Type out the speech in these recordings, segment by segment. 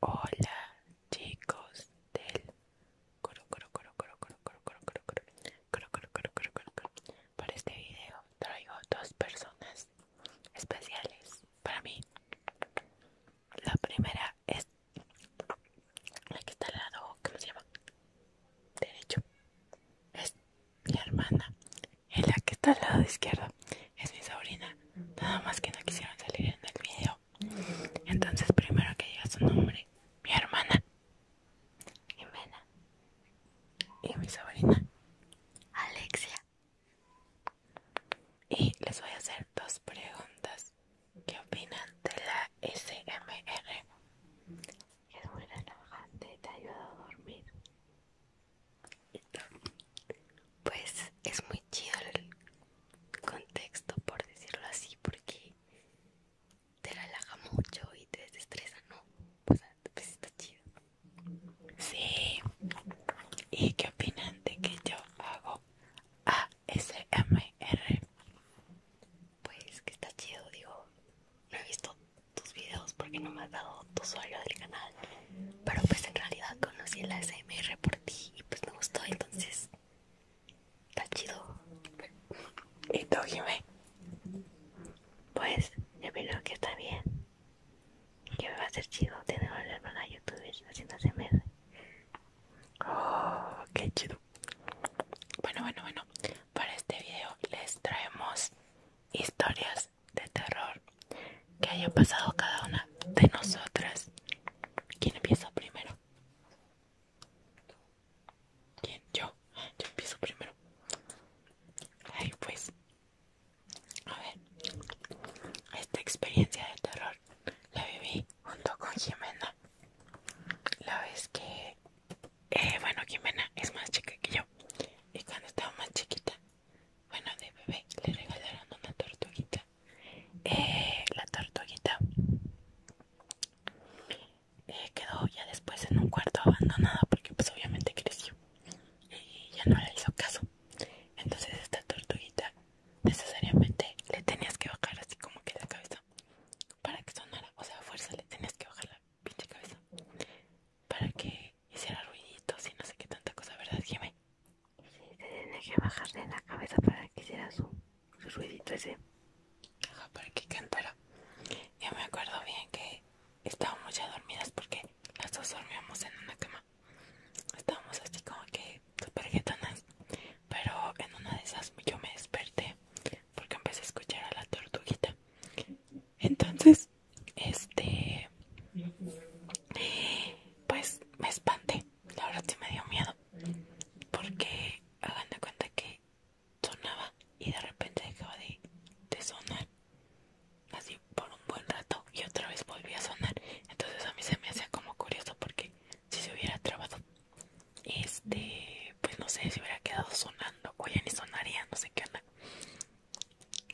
Hola chicos del coro coro coro coro coro coro coro coro coro coro coro coro coro coro Para este video traigo dos personas especiales para mí. La primera es la que está al lado, ¿cómo se llama? Derecho. Es mi hermana. Y que está al lado izquierdo es mi sobrina nada más que no quisieron salir en el video. Entonces, primero que diga su nombre, mi hermana Jimena y mi sobrina Alexia. Y les voy a hacer dos preguntas. ¿Qué opinan de la SMR? Es muy relajante, te ayuda a dormir pues es muy chido el contexto por decirlo así porque te relaja mucho y te desestresa no o sea pues está chido sí y qué opinan de que yo hago ASMR pues que está chido digo no he visto tus videos porque no me has dado tu usuario del canal pero pues en realidad conocí la SMR por ti y pues me gustó, entonces está chido. Y tú, Pues yo creo que está bien. Que me va a ser chido tener una hermana youtuber haciendo SMR. Oh, qué chido. Bueno, bueno, bueno. Para este video les traemos historias de terror que haya pasado cada una de nosotras. ¿Quién empieza primero? ¿Quién? Yo. Yo empiezo primero. Ay, pues. A ver. Esta experiencia de terror la viví junto con Jimena. La vez que. Eh, bueno, Jimena es más chica que yo. Y cuando estaba más chiquita, bueno, de bebé le regalaron una tortuguita. Eh, la tortuguita eh, quedó ya después en un cuarto abandonado porque pues obviamente creció y ya no le hizo caso. Entonces esta tortuguita necesariamente le tenías que bajar así como que la cabeza para que sonara. O sea, fuerza le tenías que bajar la pinche cabeza para que hiciera ruiditos y no sé qué tanta cosa, ¿verdad, Jimmy? Sí, te tenía que de la cabeza para que hiciera su, ruidito ese. Ajá, para que cantara. Yo me acuerdo bien que estábamos ya dormidas porque las dos dormíamos en una cama. Estábamos así como que súper Pero en una de esas yo me desperté porque empecé a escuchar a la tortuguita. Entonces, este pues me espanté. La verdad sí me dio miedo. Porque hagan de cuenta que sonaba y de repente dejaba de, sonar. Así por un buen rato y otra vez volvía a sonar. Entonces a mí se me hacía como curioso porque si se hubiera trabado, este, pues no sé, si hubiera quedado sonando. O ya ni sonaría, no sé qué onda.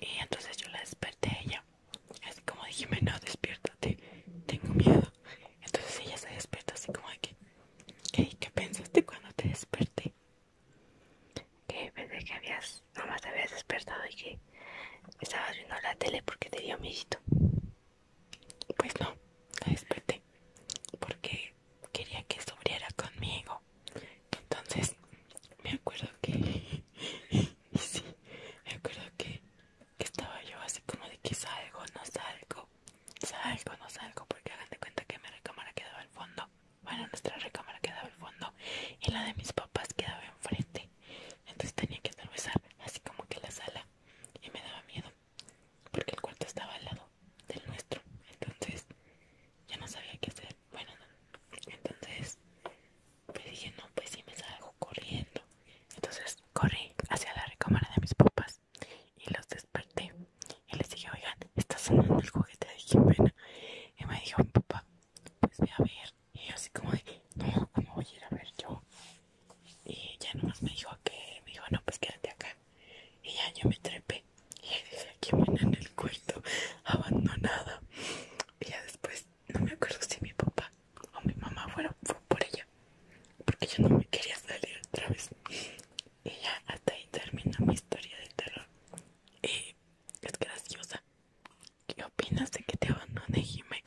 Y entonces yo la desperté a ella así como dijime, no despiértate, tengo miedo. Entonces ella se despierta así como de que, ¿qué, qué pensaste cuando te desperté? Que pensé que habías, nomás te habías despertado y que estabas viendo la tele porque te dio miedo. Pues no, la desperté porque quería que sobriera conmigo. Entonces me acuerdo que, sí, me acuerdo que que estaba yo así como de que salgo, no salgo, salgo, no salgo, porque hagan de cuenta que mi recámara quedaba al fondo, bueno, nuestra recámara quedaba al fondo y la de mis papás quedaba enfrente, entonces tenía que atravesar así como que la sala y me daba miedo, porque el cuarto estaba al lado del nuestro, entonces ya no sabía qué hacer, bueno, entonces me dije no pues sí me salgo corriendo entonces corrí hacia la recámara de mis papás y los desperté y les dije oigan está sonando el juguete de Jimena y me dijo mi papá pues ve a ver y yo así como de no cómo voy a ir a ver yo y ya nomás me dijo que me dijo no pues quédate acá y ya yo me trepé y dice Jimena en el cuarto abandonada y ya después no me acuerdo si mi papá o mi mamá fueron por ella porque yo no me quería salir otra vez y ya hasta ahí termina mi historia de terror y es graciosa ¿qué opinas de que te abandone Jimé?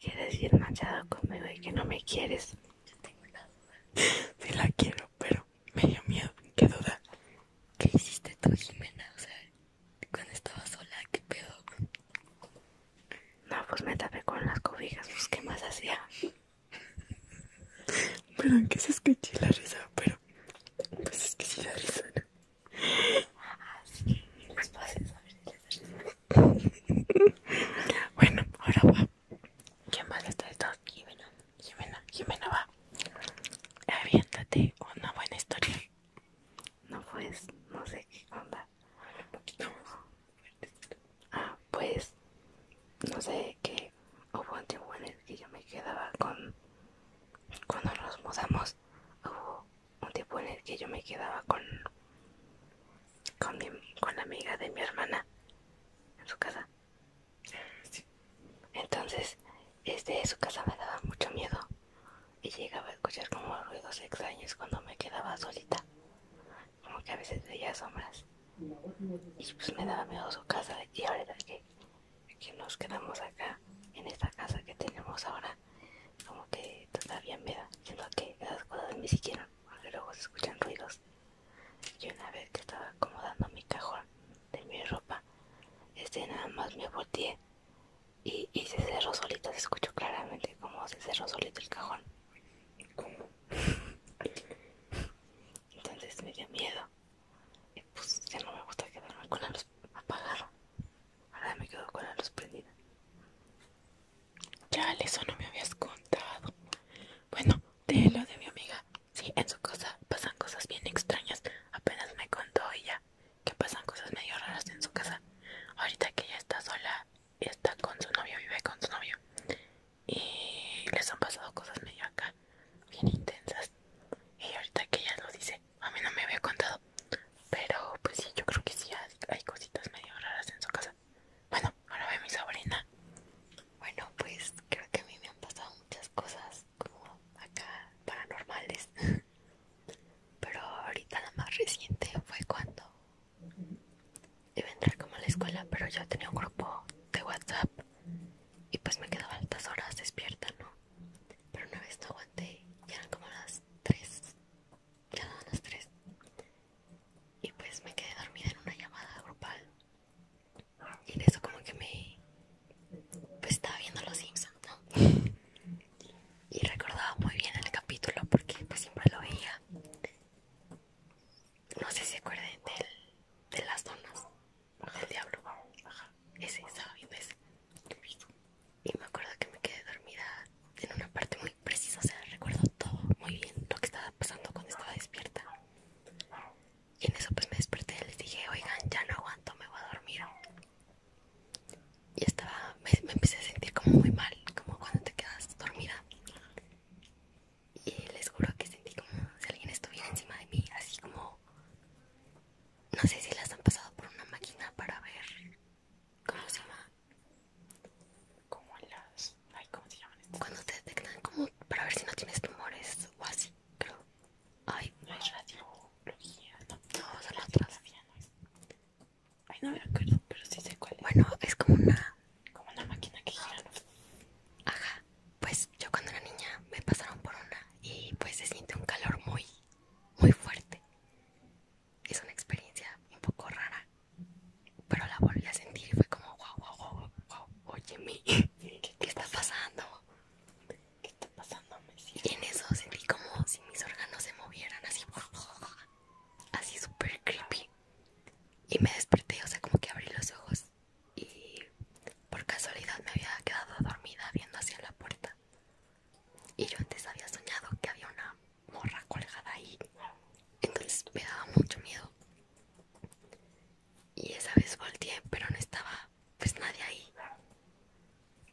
¿quieres decir machado conmigo y que no me quieres? yo tengo la duda sí la quiero pero me dio miedo ¿qué duda? ¿qué hiciste tú Jimena? cuando estaba sola, que pedo. No, pues me tapé con las cobijas, pues qué más hacía. Perdón que se escuché la risa, pero pues es que sí la risa, ah, pues, pues, Bueno, ahora va. ¿Quién más está de Jimena, Jimena, Jimena va. Aviéntate una buena historia no pues, no sé qué onda. Un poquito Ah, pues, no sé qué. Hubo un tiempo en el que yo me quedaba con. Cuando nos mudamos, hubo un tiempo en el que yo me quedaba con. Con, la amiga de mi hermana en su casa. Entonces, este, su casa me daba mucho miedo y llegaba a escuchar como ruidos extraños cuando me quedaba solita, como que a veces veía sombras. Y pues me daba miedo su casa y ahora que, nos quedamos acá, en esta casa que tenemos ahora, como que todavía me da, siendo que esas cosas ni siquiera, porque luego se escuchan ruidos. Y una vez que estaba acomodando mi cajón de mi ropa, este nada más me volteé y, se cerró solita, se escuchó claramente como se cerró solito el cajón. ¿Cómo? Entonces me dio miedo. Y pues ya no me gusta quedarme con la luz apagada. Ahora me quedo con la luz prendida. Ya, eso no me habías contado. Bueno, de lo de mi amiga. Sí, en su casa pasan cosas bien extrañas. Apenas me contó ella que pasan cosas medio raras en su casa. Ahorita que ella está sola, está con su novio, vive con su novio. Y les han pasado cosas medio acá, bien intensas. Y ahorita que ella lo dice, a mí no me había contado. Pero pues sí, yo creo que sí hay cositas medio raras en su casa. Bueno, ahora ve mi sobrina. Bueno, pues creo que a mí me han pasado muchas cosas como acá paranormales. Pero ahorita la más reciente fue cuando iba a entrar como a la escuela, pero yo tenía un grupo de WhatsApp y pues me quedaba altas horas despierta, ¿no? Pero una vez no aguanté, ya eran como las 3, ya daban las 3 y pues me quedé dormida en una llamada grupal y de eso como que me pues estaba viendo los Simpsons, ¿no? y recordaba muy bien el capítulo porque pues siempre lo veía. No sé si se acuerdan de las donas El diablo. baja Ese, estaba viendo Y me acuerdo que me quedé dormida en una parte muy precisa, o sea, recuerdo todo muy bien lo que estaba pasando cuando estaba despierta. Y en eso pues me desperté y les dije, oigan, ya no aguanto, me voy a dormir y estaba, me, empecé a sentir como muy mal, como cuando te quedas dormida. Y les juro que sentí como si alguien estuviera encima de mí, así como... No sé si las han pasado por una máquina para ver... ¿Cómo se llama? Como las... Ay, ¿cómo se llaman Cuando te detectan como para ver si no tienes tumores o así, creo. Ay, no es radiología, no. No, las otras. Ay, no me acuerdo, pero sí sé cuál es. Bueno, es como una... Como una máquina que gira. Ajá. Pues yo cuando era niña me pasaron por una y pues se siente un calor muy, muy fuerte. Es una experiencia un poco rara, pero la volví a sentir y fue como, wow, guau, guau, oye, mi, ¿qué, está pasando? ¿Qué está pasando? y en eso sentí como si mis órganos se movieran así, así súper creepy y me desperté, o sea, como que abrí los ojos y por casualidad me había quedado dormida viendo hacia la puerta. Y yo antes había soñado que había una morra colgada ahí, entonces me daba mucho miedo. Y esa vez volteé, pero no estaba pues nadie ahí.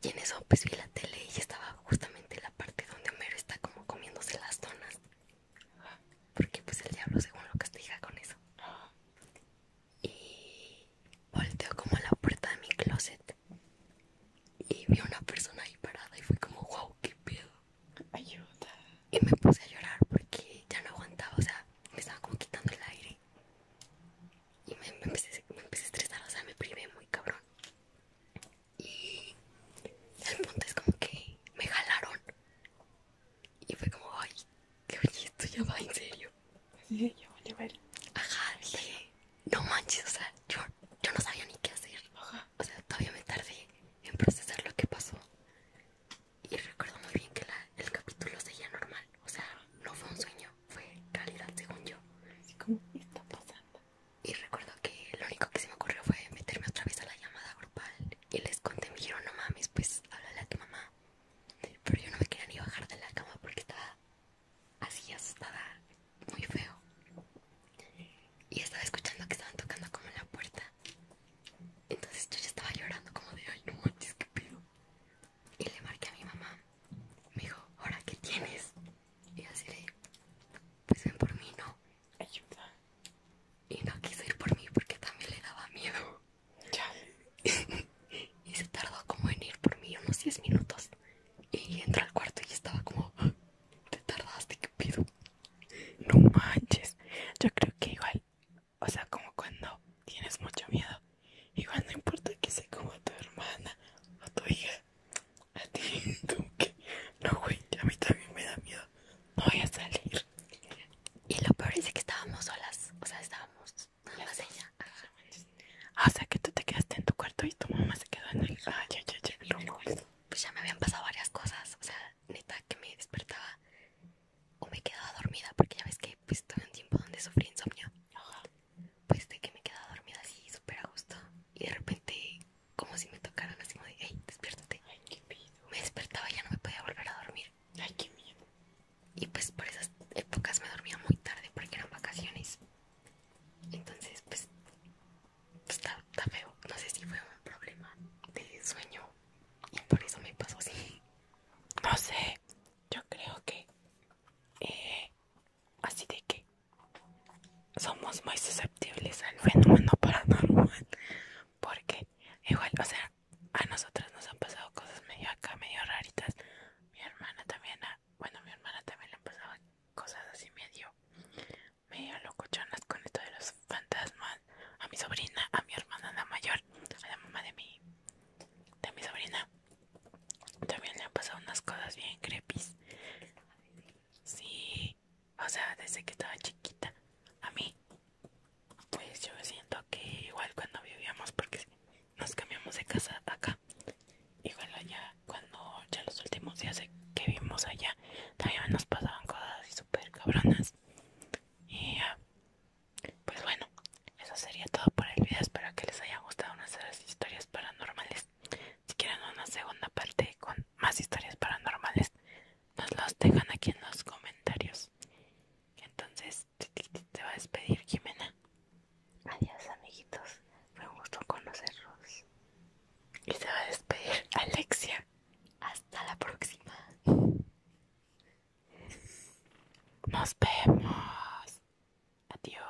Y en eso pues vi la tele y estaba justamente en la parte donde Homero está como comiéndose las zonas Porque pues el diablo según lo castiga con eso. Y volteo como a la puerta de mi closet. Y vi a una persona ahí parada y fui como, wow, qué pedo. Ayuda. Y me puse a llorar porque ya no aguantaba, o sea, me estaba como quitando el aire. Y me empecé a estresar, o sea, me privé muy cabrón. Y el punto es como que me jalaron. Y fue como, ay, que oye, esto ya va en serio. Sí, ya vale, vale. Ajá, dije, no manches, o sea, yo, no sabía ni qué hacer. O sea, todavía me tardé en procesar lo que pasó. Y recuerdo muy bien que el capítulo seguía normal. O sea, no fue un sueño, fue realidad según yo. Así como, está pasando? Y recuerdo que lo único que se me ocurrió fue meterme otra vez a la llamada grupal y les conté, me dijeron, no mames, pues háblale a tu mamá. Pero yo no me quería ni bajar de la cama porque estaba así asustada, muy feo. Y estaba escuchando que estaban tocando como en la puerta. Entonces yo ya estaba llorando como de, ay, no manches, qué pedo. Y le marqué a mi mamá. Me dijo, ¿ahora qué tienes? Y así de, pues ven por mí, ¿no? Ayuda. Y no quiso ir por mí porque también le daba miedo. Ya. y se tardó como en ir por mí unos 10 minutos. Y entró al cuarto y estaba como, ah, te tardaste, ¿qué pido? No manches. Yo creo que igual, o sea, como cuando tienes mucho miedo, igual no importa que sea como tu hermana o tu hija, a ti, No, güey, a mí también me da miedo. No voy a salir. Y lo peor es que estábamos solas. O sea, estábamos en la Ya ah, O sea, que tú te quedaste en tu cuarto y tu mamá se quedó en el. Ah, ya, ya, ya. pues ya me habían pasado varias cosas. O sea, neta, que me despertaba o me quedaba dormida. Porque ya ves que pues, tuve un tiempo donde sufrí insomnio. Ajá. Pues de que me quedaba dormida así súper a gusto. Y de repente como si me tocaran así de, hey, despiértate. Ay, qué miedo. Me despertaba y ya no me podía volver a dormir. Ay, qué miedo. Y pues por esas épocas me dormía muy tarde porque eran vacaciones. Entonces, pues, pues está, feo. No sé si fue un problema de sueño y por eso me pasó así. No sé, yo creo que eh, Así de que somos muy susceptibles al fenómeno paranormal. Porque igual, o sea, a nosotras nos han pasado cosas medio acá, medio raritas. Mi hermana también, a, bueno, mi hermana también le han pasado cosas así medio, medio locochonas con esto de los fantasmas. A mi sobrina, a mi hermana la mayor, a la mamá de mi, de mi sobrina. También le han pasado unas cosas bien creepy Sí, o sea, desde que estaba chiquita. A mí, pues yo siento que igual cuando vivíamos, porque nos cambiamos de casa acá, igual allá, cuando ya los últimos días que vivimos allá, también nos pasaban cosas así súper cabronas. Y ya, pues bueno, eso sería todo por el video. Espero que les haya gustado nuestras historias paranormales. Si quieren una segunda parte con más historias paranormales, nos los dejan aquí en los comentarios. Entonces, te va a despedir Jimena. Adiós amiguitos, fue un gusto conocerlos. Y se va a despedir Alexia. Hasta la próxima. Nos vemos. Adiós.